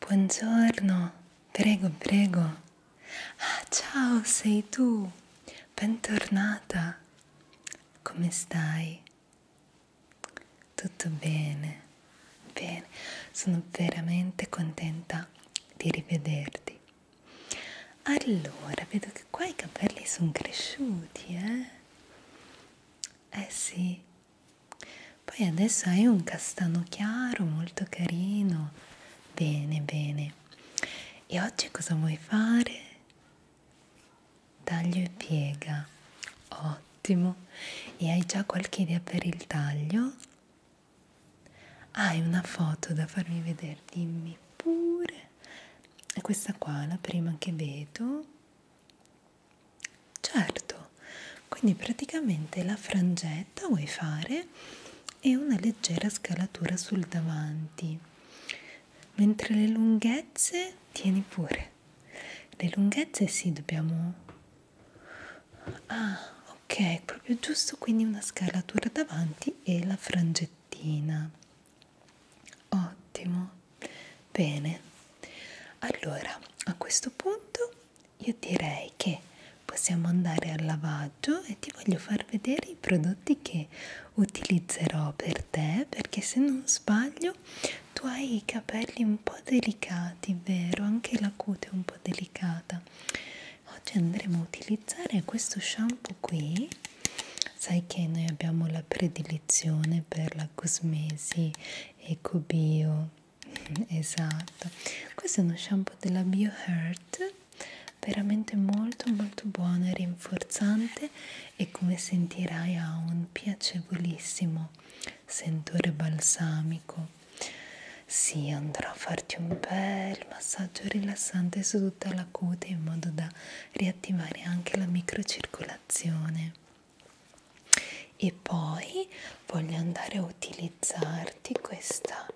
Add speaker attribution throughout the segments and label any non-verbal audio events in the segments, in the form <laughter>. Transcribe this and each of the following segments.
Speaker 1: Buongiorno, prego, prego. Ah, ciao, sei tu. Bentornata. Come stai? Tutto bene, bene, sono veramente contenta di rivederti. Allora, vedo che qua i capelli sono cresciuti, eh? Eh sì, poi adesso hai un castano chiaro, molto carino. Bene, bene. E oggi cosa vuoi fare? taglio e piega ottimo e hai già qualche idea per il taglio hai ah, una foto da farmi vedere dimmi pure è questa qua la prima che vedo certo quindi praticamente la frangetta vuoi fare e una leggera scalatura sul davanti mentre le lunghezze tieni pure le lunghezze sì dobbiamo ah ok proprio giusto quindi una scalatura davanti e la frangettina ottimo bene allora a questo punto io direi che possiamo andare al lavaggio e ti voglio far vedere i prodotti che utilizzerò per te perché se non sbaglio tu hai i capelli un po' delicati, vero? Anche la cute è un po' delicata. Oggi andremo a utilizzare questo shampoo qui. Sai che noi abbiamo la predilezione per la cosmesi ecobio. <laughs> Esatto. Questo è uno shampoo della BioHeart veramente molto molto buono e rinforzante e come sentirai ha un piacevolissimo sentore balsamico sì, andrò a farti un bel massaggio rilassante su tutta la cute in modo da riattivare anche la microcircolazione. E poi voglio andare a utilizzarti questa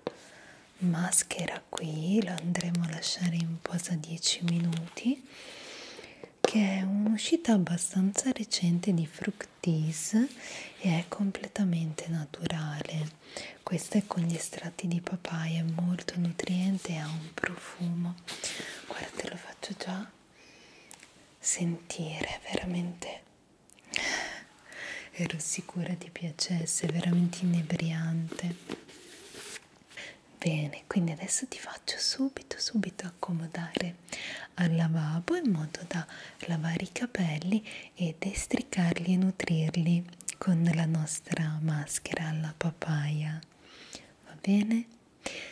Speaker 1: maschera qui, la andremo a lasciare in posa 10 minuti che è un'uscita abbastanza recente di Fructis e è completamente naturale. Questa è con gli estratti di papaya, è molto nutriente e ha un profumo. Guarda, te lo faccio già sentire, veramente. Ero sicura ti piacesse, è veramente inebriante. Bene, quindi adesso ti faccio subito subito accomodare al lavabo in modo da lavare i capelli e destricarli e nutrirli con la nostra maschera alla papaya. Va bene?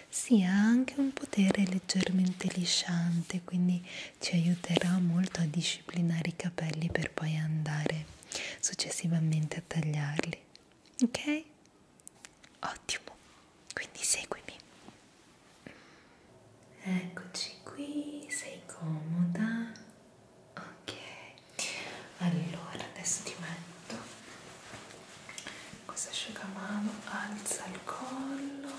Speaker 1: Sì, ha anche un potere leggermente lisciante, quindi ci aiuterà molto a disciplinare i capelli per poi andare successivamente a tagliarli. Ok? Ottimo, quindi seguimi. Eccoci qui, sei comoda. Ok, allora adesso ti metto questo asciugamano, alza il collo.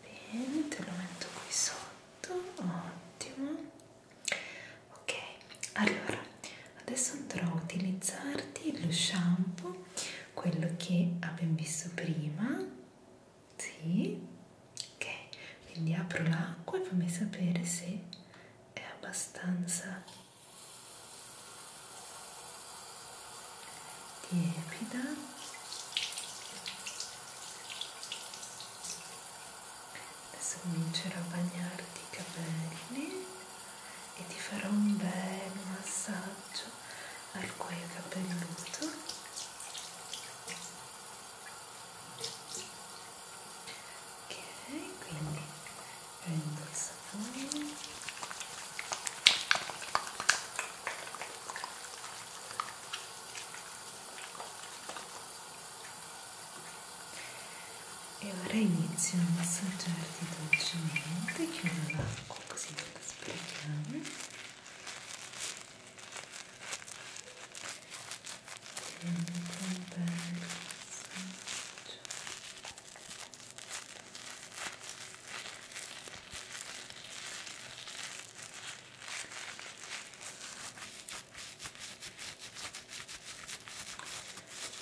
Speaker 1: Bene, te lo metto qui sotto. Ottimo. Ok, allora adesso andrò a utilizzarti lo shampoo quello che abbiamo visto prima sì ok quindi apro l'acqua e fammi sapere se è abbastanza tiepida adesso comincerò a bagnarti i capelli e ti farò un bel massaggio al cuoio capelluto ok quindi prendo il sapone e ora inizio a massaggiarti dolcemente chiudo l'acqua così non la sprechiamo un bel massaggio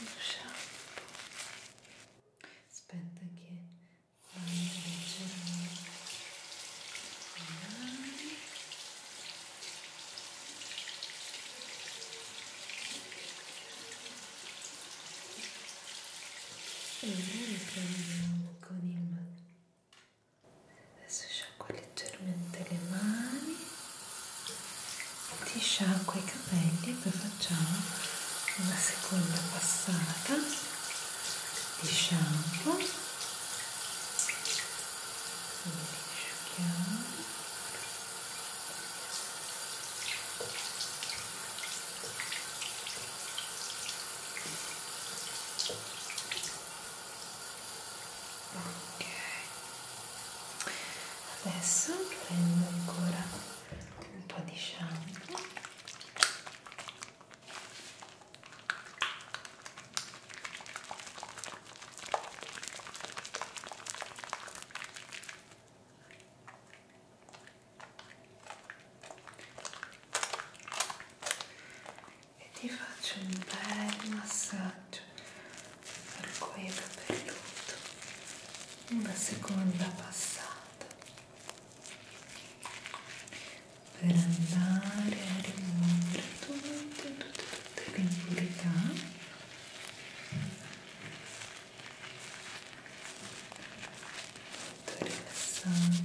Speaker 1: lo shampoo aspetta che vado a e noi prendiamo con il adesso sciacqua leggermente le mani ti sciacqua i capelli e poi facciamo una seconda passata di shampoo li asciughiamo ok adesso prendo ancora un po' di shampoo e ti faccio un bel massaggio arcobaleno perduto una seconda passata per andare a rimuovere tutte, tutte, tutte le impurità molto rilassante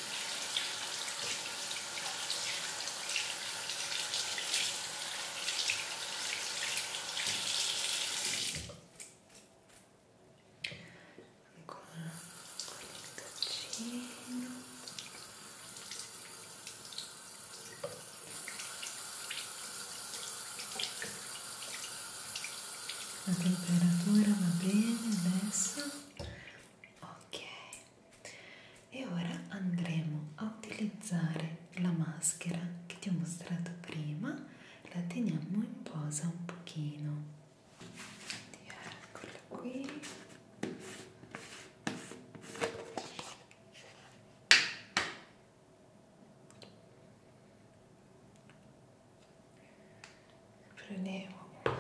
Speaker 1: Agora, um a temperatura na pele dessa ok e ora andremo a utilizzare la maschera che ti ho mostrato prima la teniamo in posa un pochino eccola qui prendevo una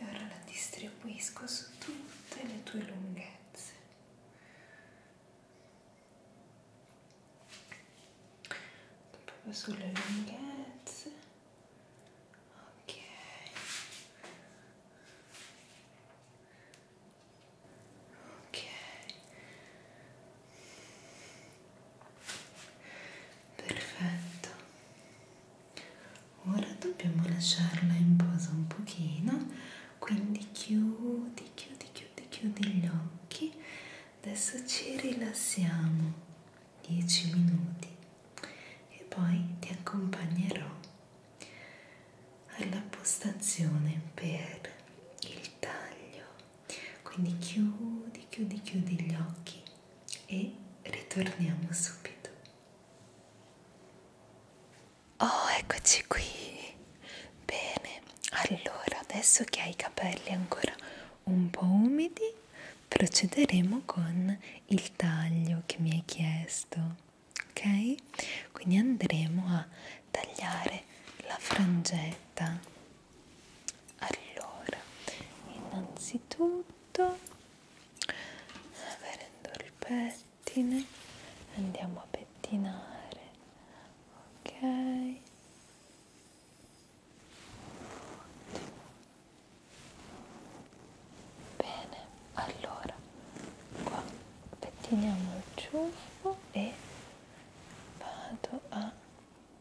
Speaker 1: e ora la distribuisco su tutte le tue lunghezze proprio sulle lunghezze ok ok perfetto ora dobbiamo lasciarla in posa un pochino quindi chiudi chiudi chiudi chiudi gli occhi adesso ci rilassiamo 10 minuti e poi ti accompagnerò alla postazione per il taglio quindi chiudi, chiudi, chiudi gli occhi e ritorniamo subito. Oh, eccoci qui. Bene, allora adesso che hai i capelli ancora un po' umidi, procederemo con il taglio che mi hai chiesto. Ok? Quindi andremo a tagliare la frangetta allora innanzitutto avendo il pettine andiamo a pettinare ok Bene, allora qua pettiniamo il ciuffo e vado a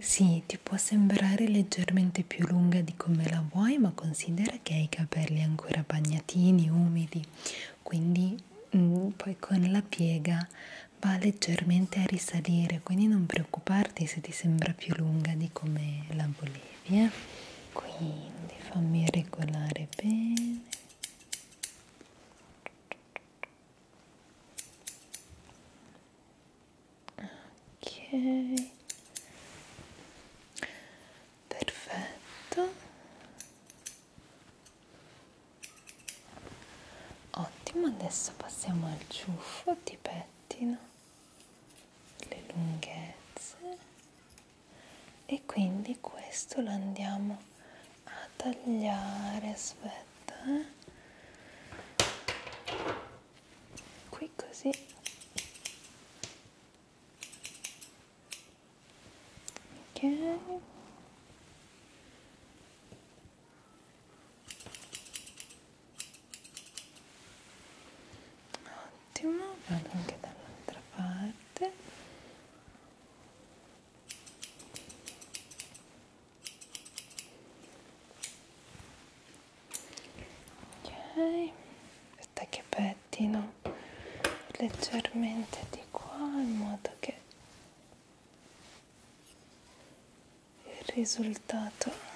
Speaker 1: Sì, ti può sembrare leggermente più lunga di come la vuoi, ma considera che hai i capelli ancora bagnatini, umidi, quindi mh, mm, poi con la piega va leggermente a risalire, quindi non preoccuparti se ti sembra più lunga di come la volevi. Eh? Quindi fammi regolare bene ok perfetto ottimo adesso passiamo al ciuffo di pettino le lunghezze e quindi questo lo andiamo a tagliare aspetta eh. qui così ok ottimo vado anche dall'altra parte ok aspetta che pettino leggermente di qua in modo che il risultato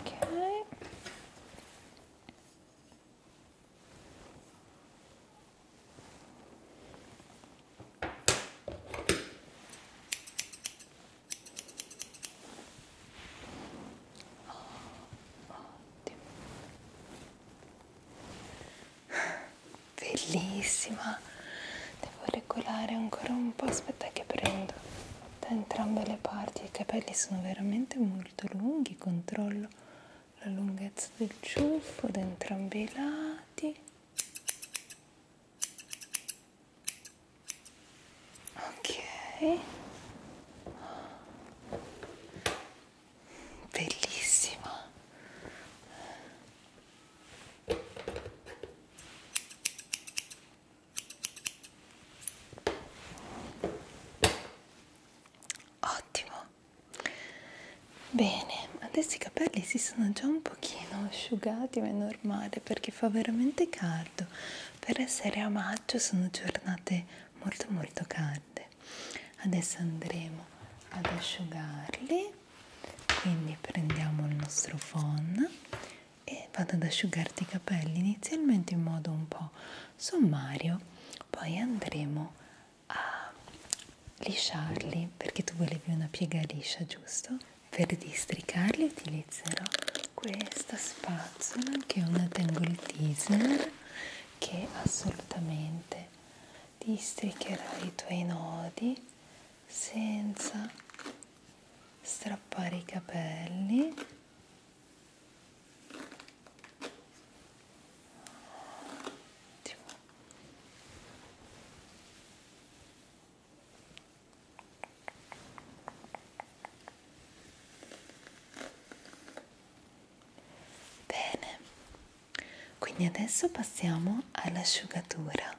Speaker 1: ok Bellissima, devo regolare ancora un po', aspetta che prendo da entrambe le parti i capelli sono veramente molto lunghi controllo la lunghezza del ciuffo da entrambi i lati ok bellissima Ottimo. Bene, adesso i capelli si sono già un pochino asciugati, ma è normale perché fa veramente caldo. Per essere a maggio sono giornate molto molto calde. Adesso andremo ad asciugarli. Quindi prendiamo il nostro phon e vado ad asciugarti i capelli inizialmente in modo un po' sommario, poi andremo a lisciarli perché tu volevi una piega liscia, giusto? Per districarli utilizzerò questa spazzola che è una Tangle Teaser che assolutamente districherà i tuoi nodi senza strappare i capelli Ottimo. Bene, quindi adesso passiamo all'asciugatura.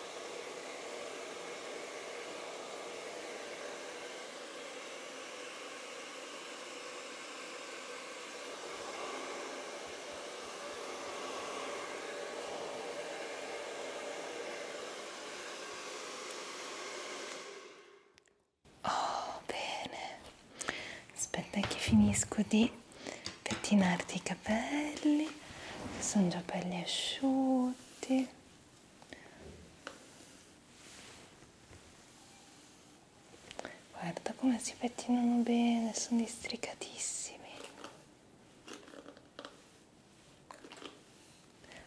Speaker 1: Oh, bene, aspetta che finisco di pettinarti i capelli, sono già belli asciutti. Guarda come si pettinano bene, sono districatissimi.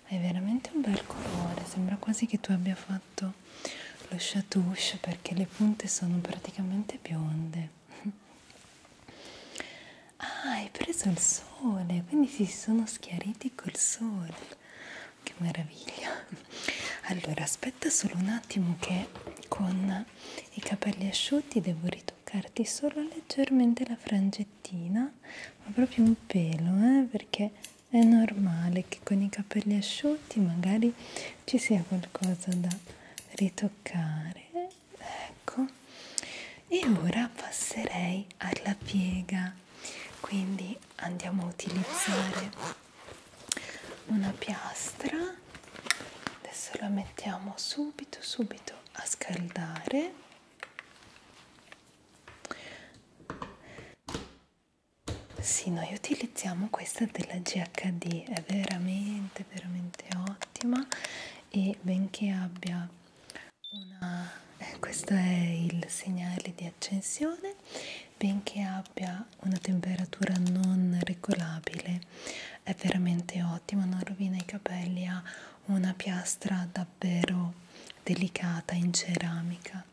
Speaker 1: Hai veramente un bel colore, sembra quasi che tu abbia fatto lo chatouche perché le punte sono praticamente bionde. Ah, hai preso il sole, quindi si sono schiariti col sole. Che meraviglia! Allora, aspetta solo un attimo che con i capelli asciutti devo ritoccarti solo leggermente la frangettina, ma proprio un pelo, eh, perché è normale che con i capelli asciutti magari ci sia qualcosa da ritoccare eh ecco e ora passerei alla piega quindi andiamo a utilizzare una piastra adesso la mettiamo subito subito a scaldare sì noi utilizziamo questa della GHD è veramente veramente ottima e benché abbia una, eh, questo è il segnale di accensione benché abbia una temperatura non regolabile è veramente ottimo non rovina i capelli ha una piastra davvero delicata in ceramica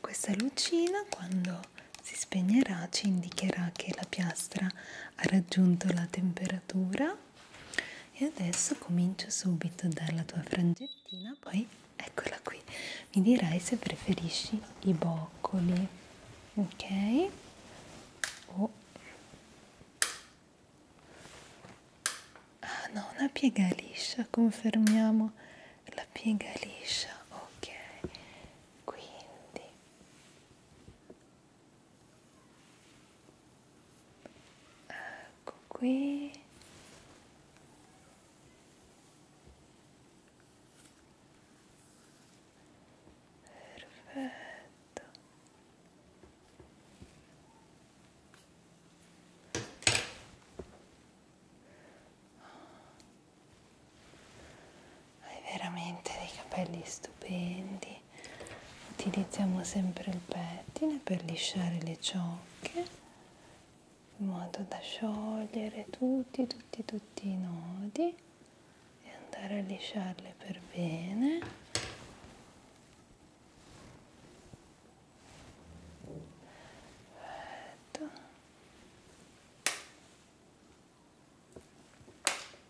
Speaker 1: questa lucina quando si spegnerà ci indicherà che la piastra ha raggiunto la temperatura e adesso comincio subito a dare la tua frangettina poi eccola qui mi dirai se preferisci i boccoli ok oh. ah no una piega liscia confermiamo la piega liscia ok quindi ecco qui perfetto hai veramente dei capelli stupendi utilizziamo sempre il pettine per lisciare le ciocche in modo da sciogliere tutti tutti tutti i nodi e andare a lisciarle per bene Perfetto.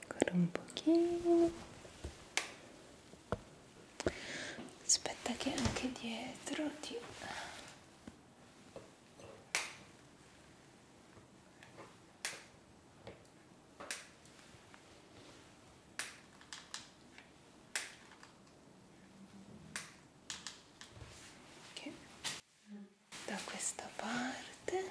Speaker 1: ancora un pochino aspetta che anche dietro ti da questa parte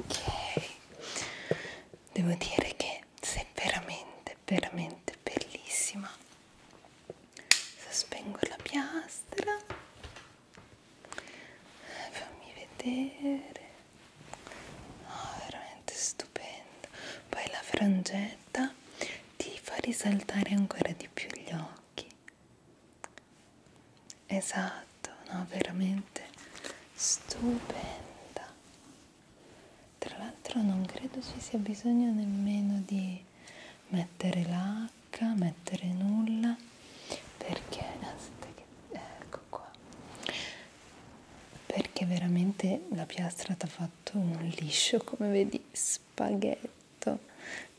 Speaker 1: ok devo dire che sei veramente veramente bellissima sospengo la piastra fammi vedere oh, veramente stupendo poi la frangetta ti fa risaltare ancora di più gli occhi Esatto, no, veramente stupenda. Tra l'altro non credo ci sia bisogno nemmeno di mettere l'H, mettere nulla, perché, aspetta che, ecco qua, perché veramente la piastra ti ha fatto un liscio, come vedi, spaghetto,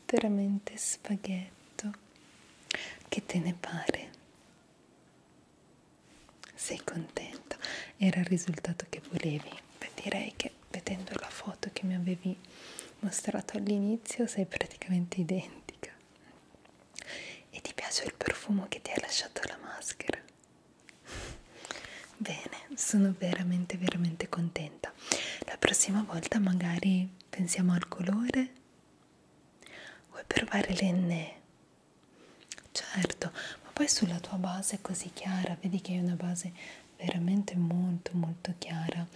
Speaker 1: veramente spaghetto. Che te ne pare? Sei contento? Era il risultato che volevi? Beh, direi che vedendo la foto che mi avevi mostrato all'inizio sei praticamente identica. E ti piace il profumo che ti ha lasciato la maschera? Bene, sono veramente veramente contenta. La prossima volta magari pensiamo al colore Vuoi provare l'enne? Certo, ma poi sulla tua base è così chiara, vedi che è una base veramente molto molto chiara.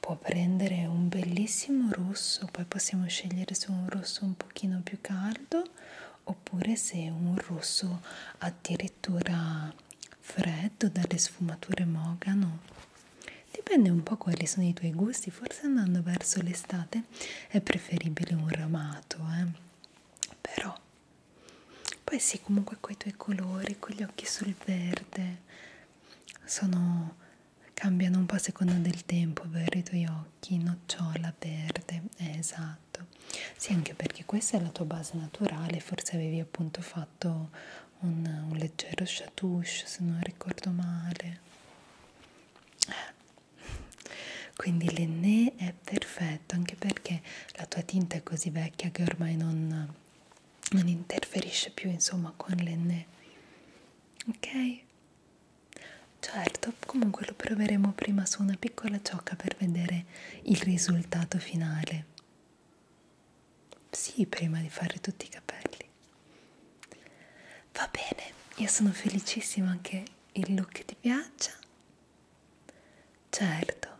Speaker 1: Può prendere un bellissimo rosso, poi possiamo scegliere se un rosso un pochino più caldo oppure se un rosso addirittura freddo dalle sfumature mogano Dipende un po' quali sono i tuoi gusti, forse andando verso l'estate è preferibile un ramato, eh? però poi sì, comunque coi tuoi colori, con gli occhi sul verde, sono, cambiano un po' a seconda del tempo, vero i tuoi occhi, nocciola, verde, eh, esatto. Sì, anche perché questa è la tua base naturale, forse avevi appunto fatto un, un leggero chatouche se non ricordo male eh. quindi l'enne è perfetto anche perché la tua tinta è così vecchia che ormai non, non interferisce più insomma con l'enne ok certo comunque lo proveremo prima su una piccola ciocca per vedere il risultato finale sì, prima di fare tutti i capelli. Va bene, io sono felicissima che il look ti piaccia. Certo.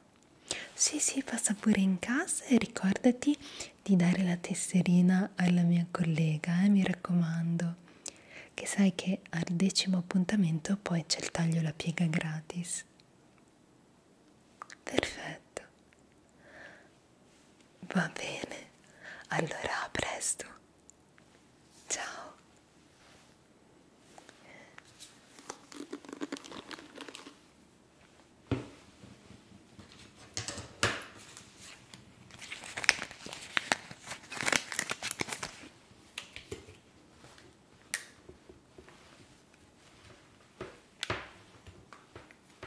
Speaker 1: Sì, sì, passa pure in casa e ricordati di dare la tesserina alla mia collega, eh, mi raccomando. Che sai che al decimo appuntamento poi c'è il taglio la piega gratis. Perfetto. Va bene, allora a presto. Ciao.